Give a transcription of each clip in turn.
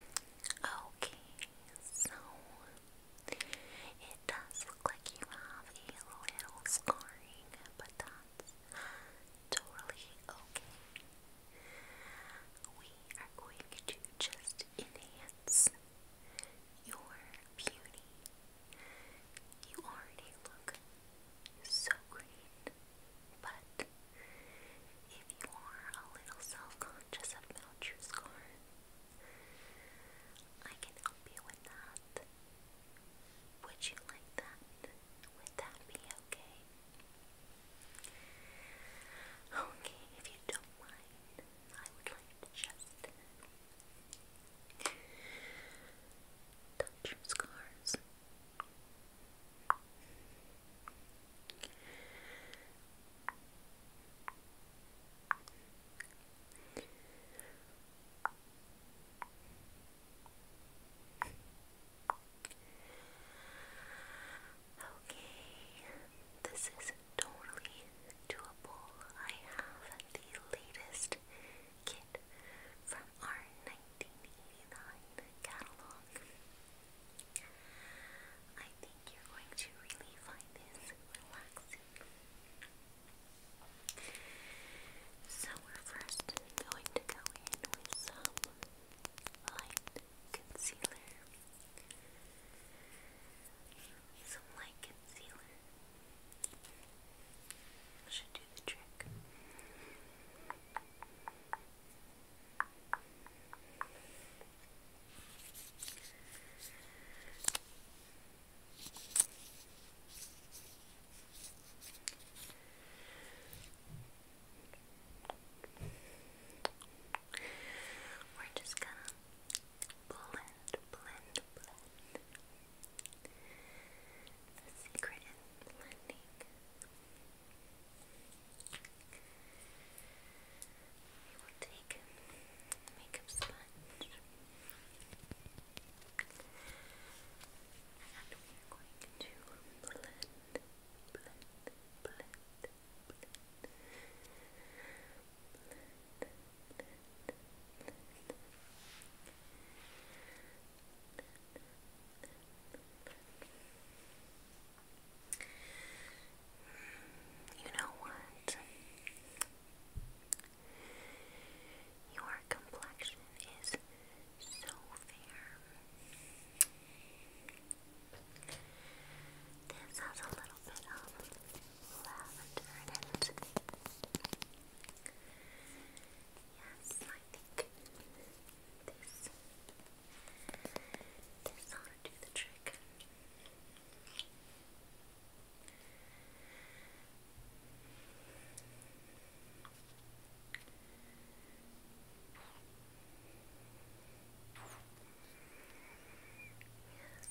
Okay, so it does look like you have a little scarring, but that's totally okay. We are going to just enhance your beauty. You already look so great, but if you are a little self-conscious about your scar, I can help you with that. Would you like that? Would that be okay? Okay, if you don't mind, I would like to just touch your scars. Okay, this is totally doable. I have the latest kit from our 1989 catalog. I think you're going to really find this relaxing. So we're first going to go in with some light concealer. Some light concealer should do the trick. We're just gonna blend, blend, blend. The secret is blending. We will take a makeup sponge and we are going to blend, blend, blend, blend you know what? Your complexion is so fair. This has a little bit of lavender in it. Yes, I think this. This ought to do the trick. Yes,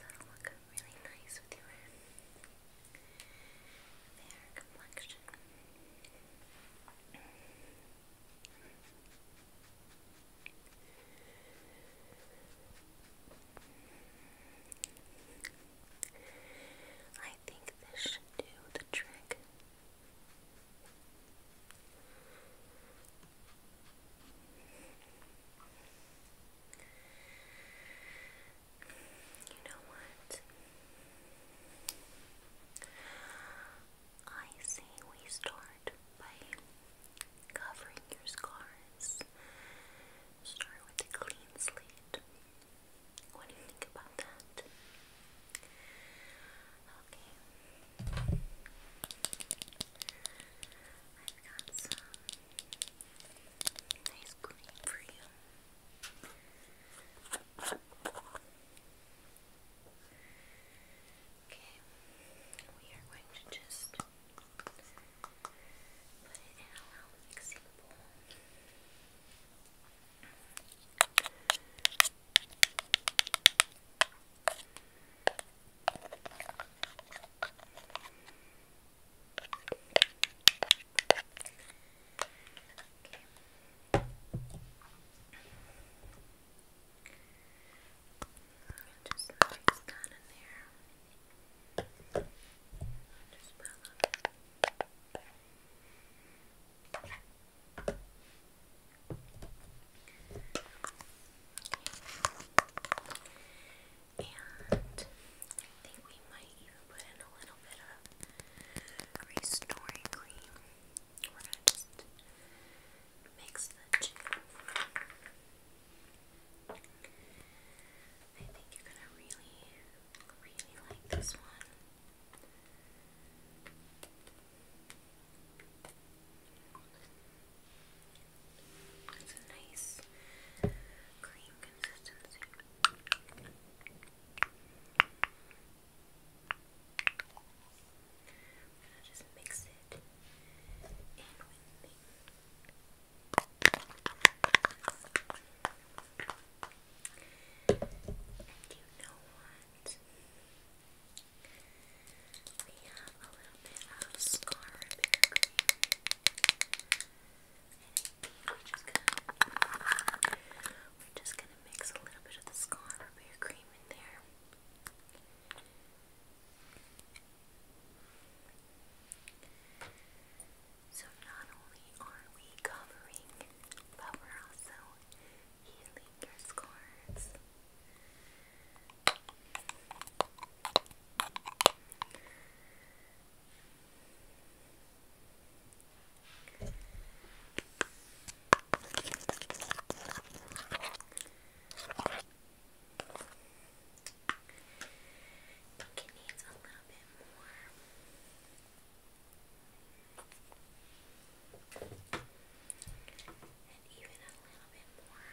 that'll look really nice with your fair complexion. I think this should do the trick. You know what? I say we start by covering your scars. Start with clean slate. What do you think about that? Okay. I've got some nice cream for you. Okay, we are going to just put it in a loud mixing bowl. Okay. Just mix And I think we might even put in a little bit of restoring cream we mix the I think you're gonna really, really like this one. It's a nice cream consistency. And I just mix it in with me. And you know what? We have a little bit of scar And we're just gonna we're just going to mix a little bit of the scar Repair Cream in there. So not only are we covering, but we're also healing your scars. I think it needs a little bit more. And even a little bit more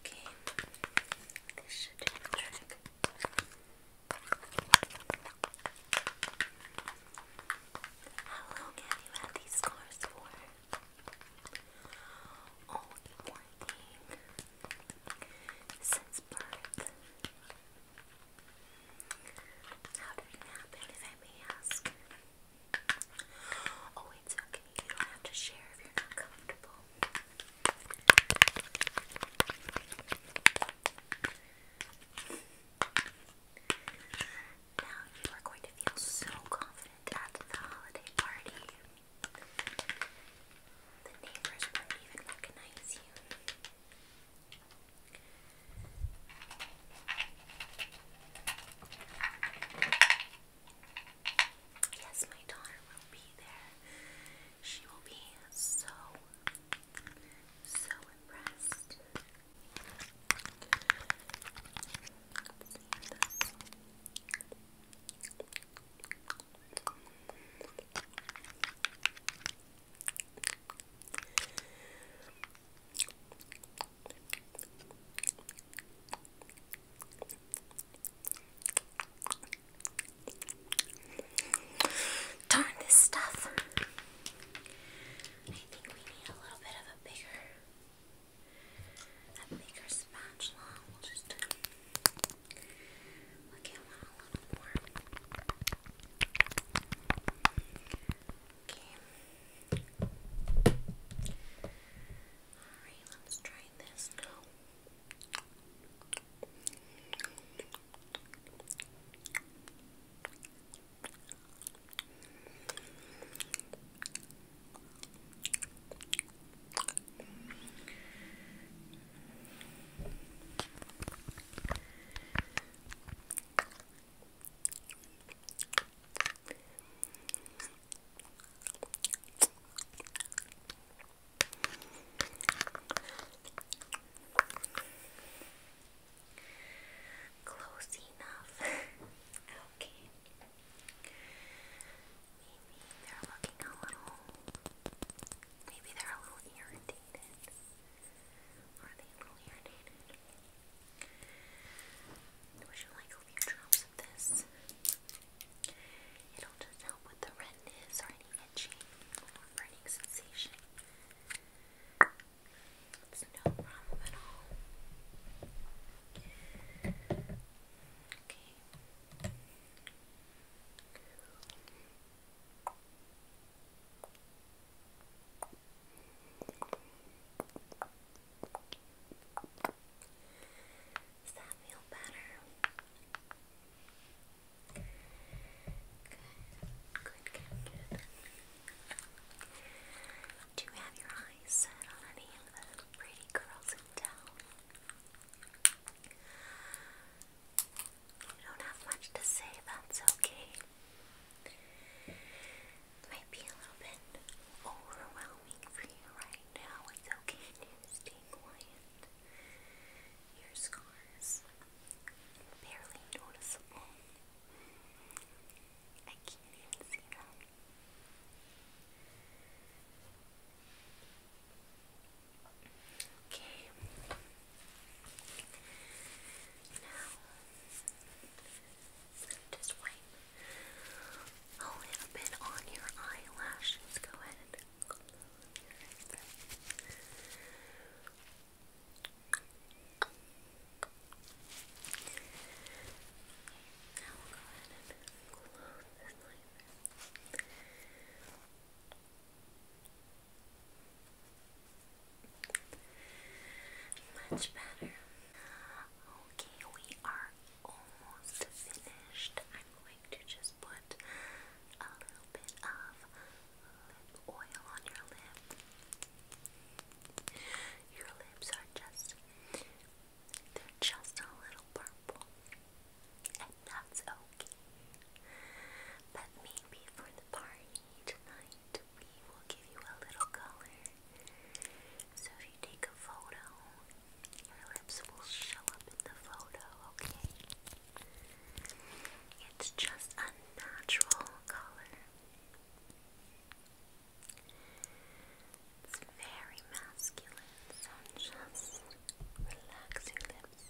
Okay, this should do How long have you had these scars for? Only one thing. Since birth. How did it happen, if I may ask? Oh, it's okay. You don't have to share if you're not comfortable. Now you are going to feel so confident at the holiday party. The neighbors won't even recognize you. Yes, my daughter will be there. She will be so, so impressed. Let's see this. Darn this stuff. I think we need a little bit of a bigger a bigger spatula. We'll just look a little more. Okay. Alright, let's try this Close enough. okay. Maybe they're looking a little. Maybe they're a little irritated. Are they a little irritated? I you like a few drops of this. It'll just help with the redness or any itching or burning sensation. It's no problem at all. Okay. Does that feel better? Good, good, good, Do you have your eyes set on any of the pretty girls in town? You don't have much to say, that's okay might be a little bit overwhelming for you right now. It's okay to stay quiet. Your scars barely noticeable. I can't even see them. Okay. Now, just wipe a little bit on your eyelashes. Go ahead and close this like Much better. Okay, we are almost finished. I'm going to just put a little bit of oil on your lip. Your lips are just they're just a little purple. And that's okay. But maybe for the party tonight we will give you a little color. So if you take a photo, your lips will show up in the photo, okay? It's just a natural color. It's very masculine, so relax your lips.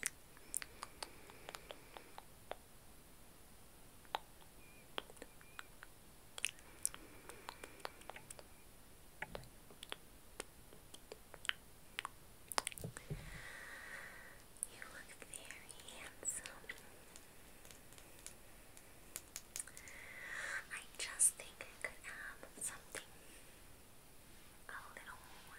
You look very handsome. I just think I could have something a little more.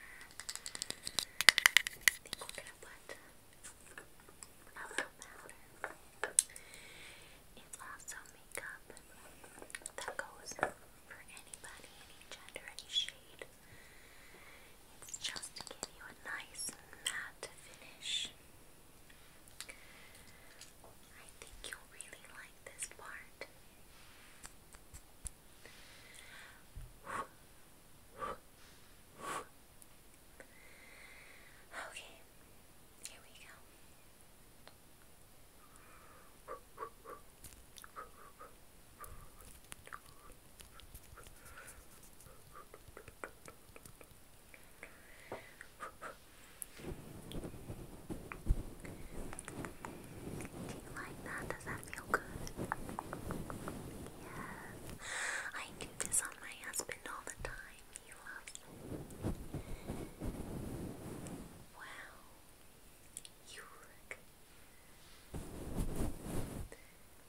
think we're gonna put it's also makeup that goes for anybody, any gender, any shade. It's just to you a nice matte finish. I think you'll really like this part. Okay, here we go. Do you like that? Does that feel good? Yes. I do this on my husband all the time me Wow, you look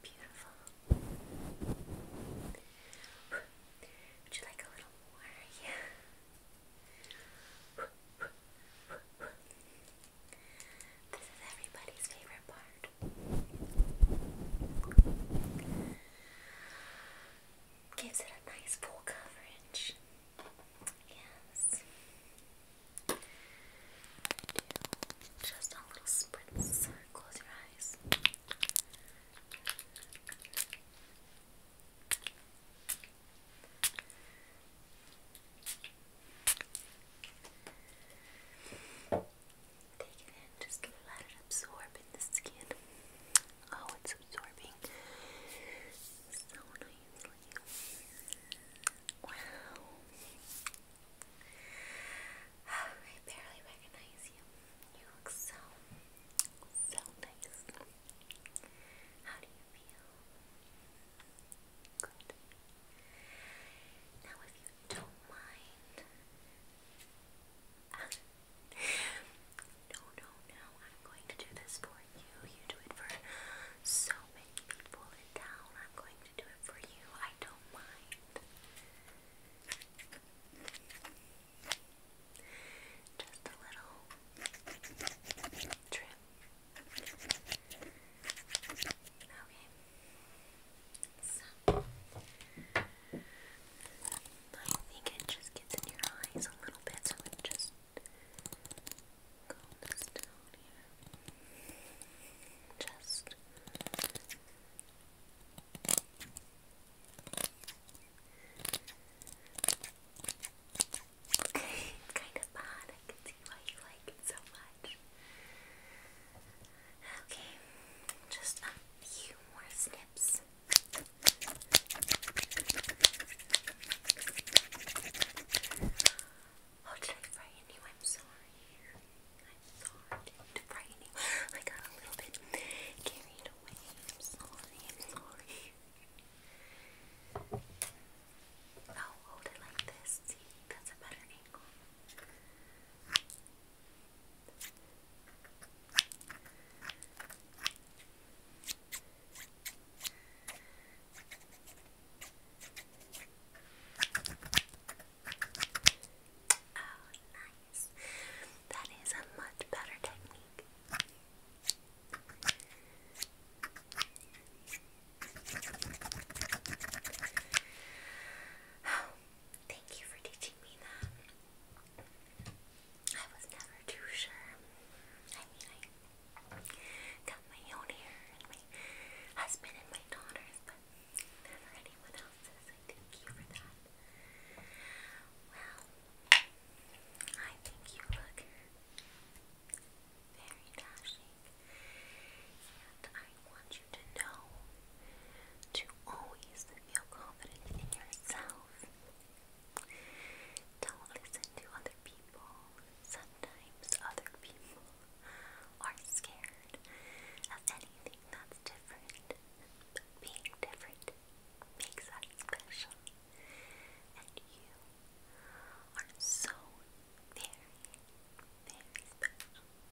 beautiful. Would you like a little more? Yeah. This is everybody's favorite part. Gives it a nice full coverage. Yes. just a little spritz. Close your eyes. Take it in, just let it absorb in the skin. Oh, it's absorbing so nicely. Wow. I barely recognize you. You look so, so nice. How do you feel? Good. Now, if you don't mind, no, no, no, I'm going to do this for you. You do it for so many people I'm going to do it for you. I don't mind. Just a little trim. Okay. So, I think it just gets in your eyes a little bit, so i just comb this here. Just kind of bad. I can see why you like it so much. Okay, just a few more snips. Oh, did I frighten you? I'm sorry. I'm sorry to frighten you. I got a little bit carried away. I'm sorry. I'm sorry. Oh, hold it like this. See, that's a better angle. Oh, nice. That is a much better technique thank you for teaching me that. I was never too sure. I mean, I got my own hair my husband and my daughters, but never anyone else's. thank you for that. Well, I think you look very dashing, and I I want you to know to always feel confident in yourself. Don't listen to other people. Sometimes other people are scared of anything that's different. Being different makes us special. And you are so very, very special.